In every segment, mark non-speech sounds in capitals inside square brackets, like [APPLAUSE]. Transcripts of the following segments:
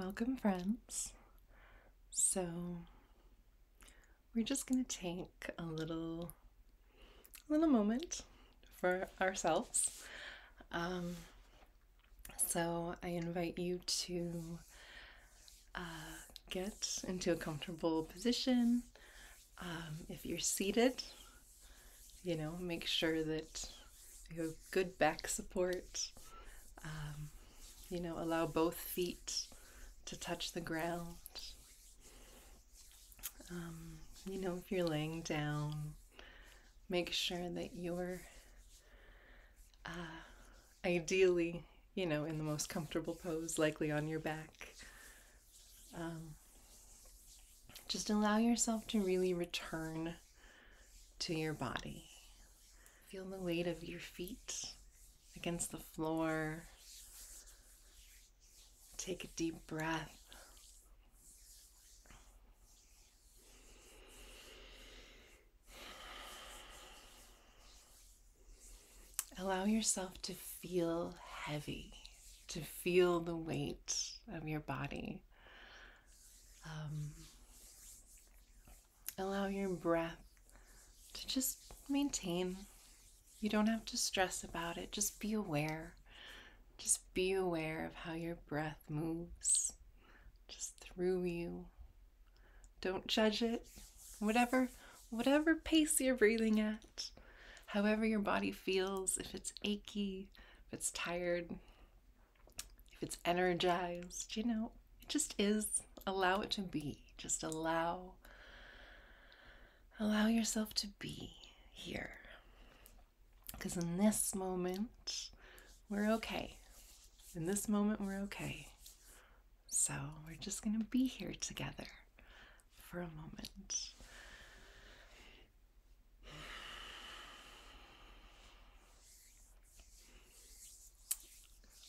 Welcome, friends. So, we're just going to take a little, little moment for ourselves. Um, so, I invite you to uh, get into a comfortable position. Um, if you're seated, you know, make sure that you have good back support. Um, you know, allow both feet to touch the ground. Um, you know, if you're laying down, make sure that you're uh, ideally, you know, in the most comfortable pose, likely on your back. Um, just allow yourself to really return to your body. Feel the weight of your feet against the floor. Take a deep breath. Allow yourself to feel heavy, to feel the weight of your body. Um, allow your breath to just maintain. You don't have to stress about it. Just be aware. Just be aware of how your breath moves just through you. Don't judge it. Whatever whatever pace you're breathing at, however your body feels, if it's achy, if it's tired, if it's energized, you know, it just is. Allow it to be. Just allow allow yourself to be here. Cuz in this moment, we're okay. In this moment, we're okay. So, we're just going to be here together for a moment.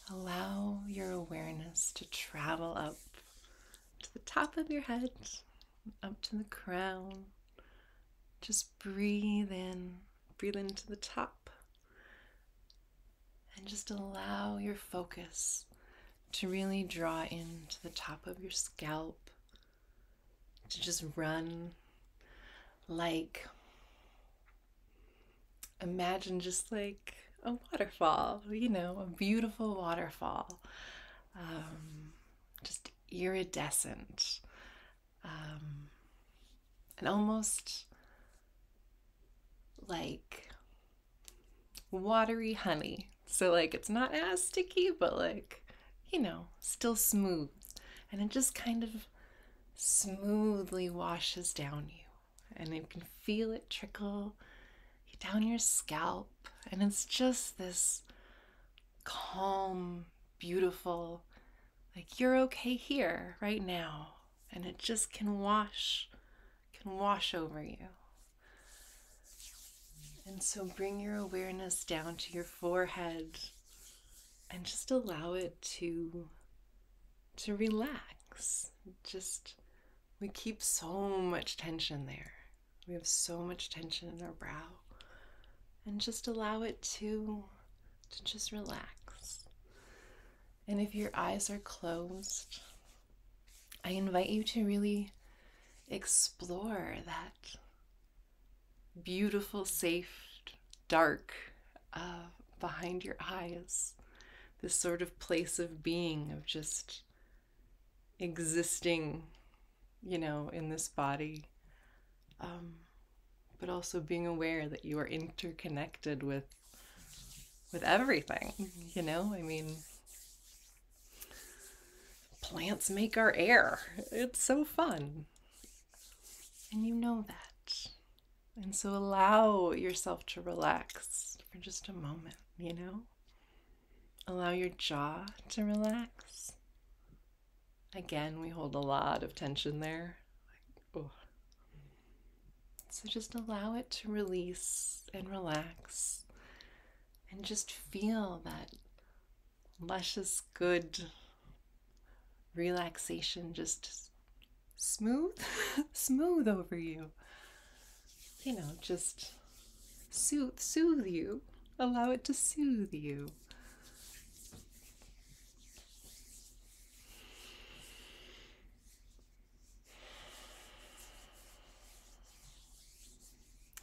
Allow your awareness to travel up to the top of your head, up to the crown. Just breathe in, breathe into the top, and just allow your focus to really draw into the top of your scalp, to just run like imagine just like a waterfall, you know, a beautiful waterfall, um, just iridescent, um, and almost like watery honey. So, like, it's not as sticky, but like you know, still smooth. And it just kind of smoothly washes down you. And you can feel it trickle down your scalp. And it's just this calm, beautiful, like you're okay here right now. And it just can wash, can wash over you. And so bring your awareness down to your forehead and just allow it to to relax just we keep so much tension there we have so much tension in our brow and just allow it to to just relax and if your eyes are closed i invite you to really explore that beautiful, safe, dark uh, behind your eyes. This sort of place of being, of just existing, you know, in this body, um, but also being aware that you are interconnected with with everything. Mm-hmm. You know, I mean, plants make our air. It's so fun. And you know that. And so allow yourself to relax for just a moment, you know? Allow your jaw to relax. Again, we hold a lot of tension there. So just allow it to release and relax and just feel that luscious, good relaxation, just smooth, [LAUGHS] smooth over you. You know, just soothe, soothe you. Allow it to soothe you.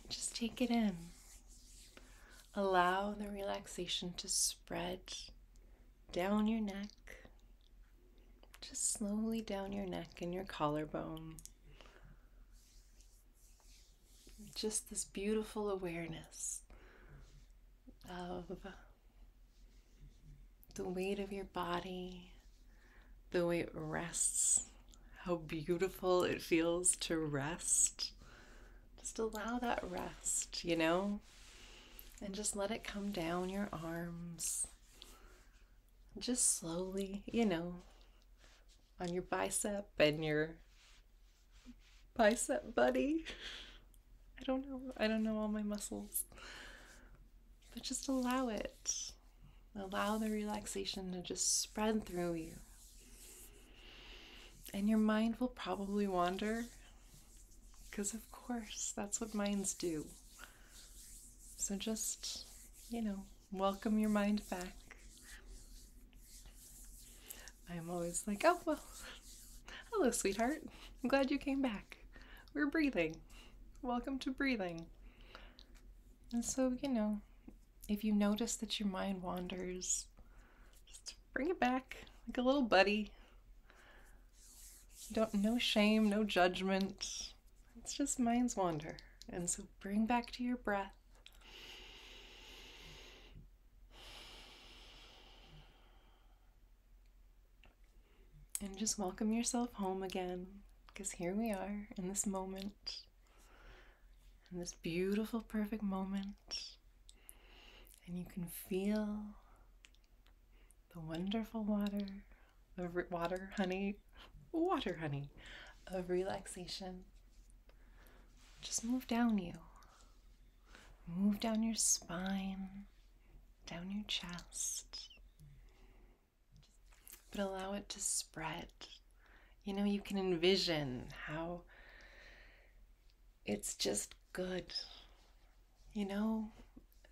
Just take it in. Allow the relaxation to spread down your neck, just slowly down your neck and your collarbone. Just this beautiful awareness of the weight of your body, the way it rests, how beautiful it feels to rest just allow that rest, you know? And just let it come down your arms. Just slowly, you know, on your bicep and your bicep buddy. I don't know. I don't know all my muscles. But just allow it. Allow the relaxation to just spread through you. And your mind will probably wander, because of course, that's what minds do. So just, you know, welcome your mind back. I'm always like, oh, well, hello, sweetheart. I'm glad you came back. We're breathing. Welcome to breathing. And so, you know, if you notice that your mind wanders, just bring it back like a little buddy. Don't no shame, no judgment. It's just mind's wander. And so bring back to your breath. And just welcome yourself home again, because here we are in this moment, in this beautiful, perfect moment and you can feel the wonderful water, the water honey, water honey of relaxation. Just move down you. Move down your spine, down your chest. But allow it to spread. You know, you can envision how it's just good. You know,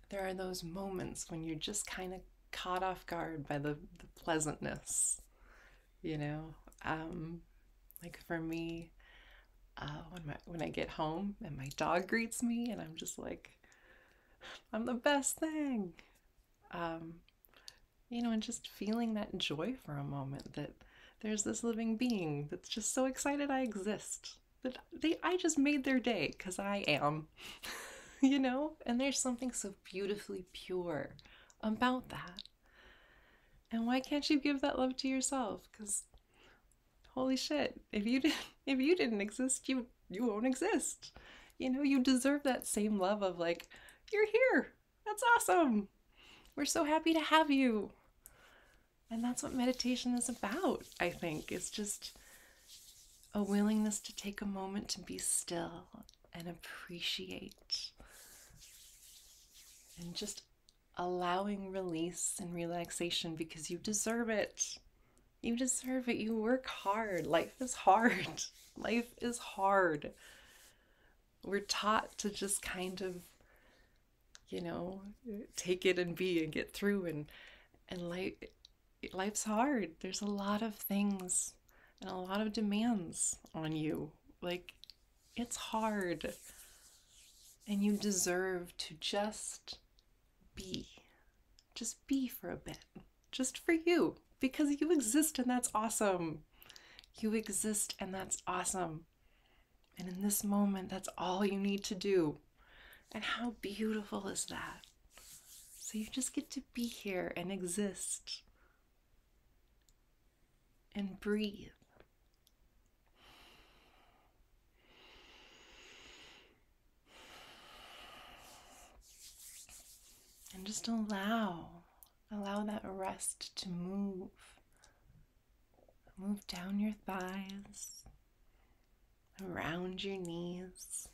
there are those moments when you're just kind of caught off guard by the, the pleasantness, you know. Um, like for me, uh, when my when I get home and my dog greets me, and I'm just like, I'm the best thing, um, you know, and just feeling that joy for a moment that there's this living being that's just so excited I exist. That they I just made their day cuz I am. [LAUGHS] you know? And there's something so beautifully pure about that. And why can't you give that love to yourself? Cuz holy shit, if you did not [LAUGHS] if you didn't exist, you you won't exist. You know, you deserve that same love of like you're here. That's awesome. We're so happy to have you. And that's what meditation is about, I think. It's just a willingness to take a moment to be still and appreciate and just allowing release and relaxation because you deserve it. You deserve it. You work hard. Life is hard. [LAUGHS] Life is hard. We're taught to just kind of you know take it and be and get through and and life life's hard there's a lot of things and a lot of demands on you like it's hard and you deserve to just be just be for a bit just for you because you exist and that's awesome you exist and that's awesome and in this moment, that's all you need to do. And how beautiful is that? So you just get to be here and exist and breathe. And just allow, allow that rest to move Move down your thighs, around your knees,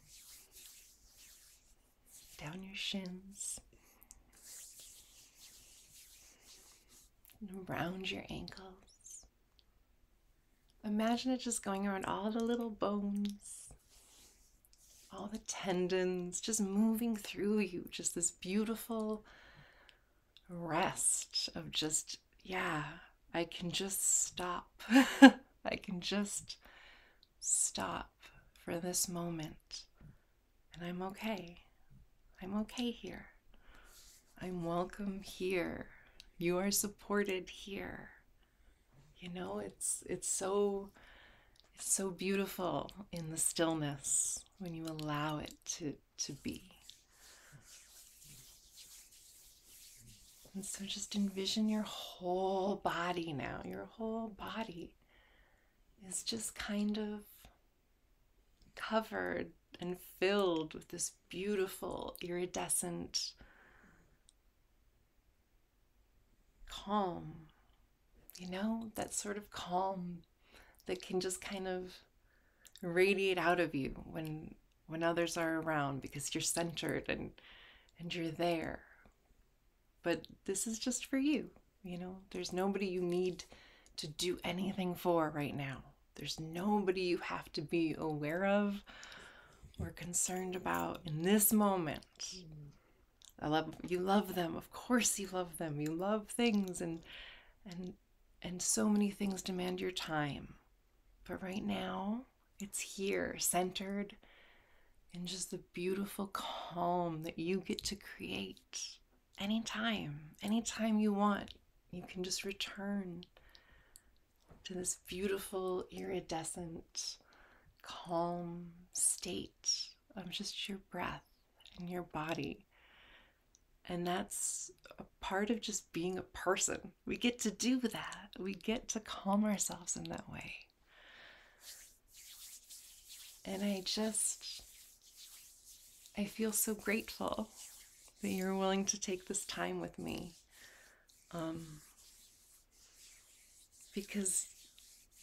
down your shins, around your ankles. Imagine it just going around all the little bones, all the tendons, just moving through you, just this beautiful rest of just, yeah, I can just stop. [LAUGHS] I can just stop for this moment. And I'm okay. I'm okay here. I'm welcome here. You are supported here. You know, it's it's so so beautiful in the stillness when you allow it to to be. And so just envision your whole body now. Your whole body is just kind of covered and filled with this beautiful, iridescent, calm. You know, that sort of calm that can just kind of radiate out of you when when others are around because you're centered and and you're there. But this is just for you, you know. There's nobody you need to do anything for right now. There's nobody you have to be aware of or concerned about in this moment. I love you love them. Of course you love them. You love things and and and so many things demand your time. But right now, it's here, centered in just the beautiful calm that you get to create anytime, anytime you want. You can just return to this beautiful, iridescent, calm state of just your breath and your body and that's a part of just being a person. We get to do that. We get to calm ourselves in that way. And I just, I feel so grateful that you're willing to take this time with me. Um, because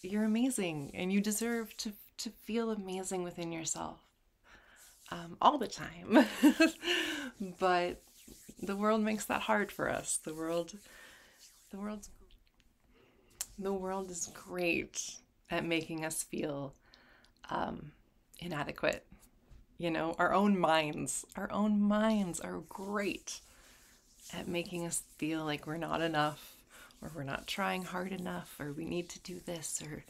you're amazing and you deserve to, to feel amazing within yourself. Um, all the time. [LAUGHS] but the world makes that hard for us. The world, the world's, the world is great at making us feel um, inadequate. You know, our own minds, our own minds are great at making us feel like we're not enough or we're not trying hard enough or we need to do this or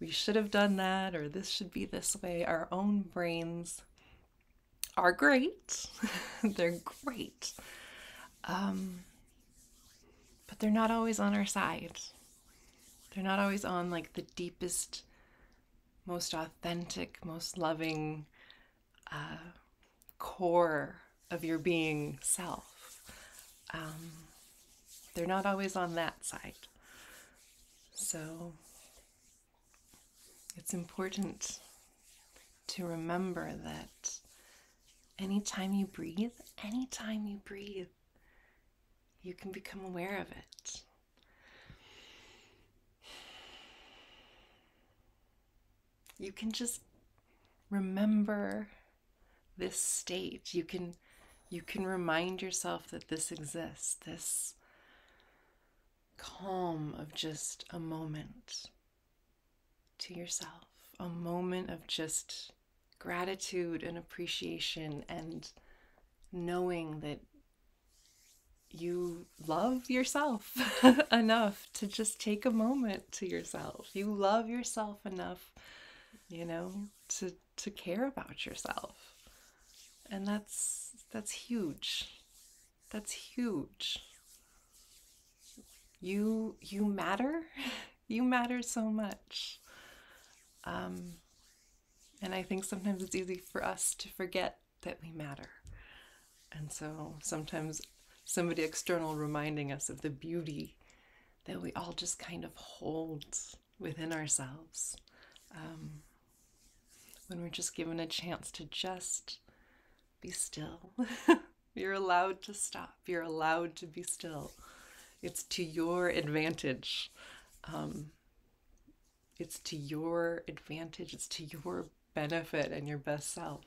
we should have done that or this should be this way. Our own brains are great. [LAUGHS] they're great. Um, but they're not always on our side. They're not always on like the deepest, most authentic, most loving uh, core of your being self. Um, they're not always on that side. So it's important to remember that anytime you breathe, anytime you breathe, you can become aware of it. You can just remember this state you can you can remind yourself that this exists this calm of just a moment to yourself a moment of just gratitude and appreciation and knowing that you love yourself [LAUGHS] enough to just take a moment to yourself. You love yourself enough, you know, to to care about yourself. And that's that's huge. That's huge. You you matter. [LAUGHS] you matter so much. Um, and I think sometimes it's easy for us to forget that we matter. And so sometimes somebody external reminding us of the beauty that we all just kind of hold within ourselves um, when we're just given a chance to just be still. [LAUGHS] You're allowed to stop. You're allowed to be still. It's to your advantage. Um, it's to your advantage. It's to your benefit and your best self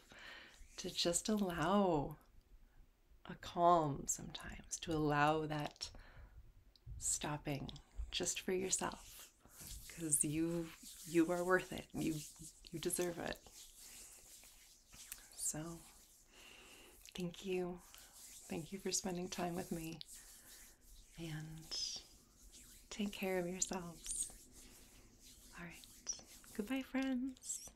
to just allow a calm sometimes to allow that stopping just for yourself because you you are worth it you you deserve it so thank you thank you for spending time with me and take care of yourselves all right goodbye friends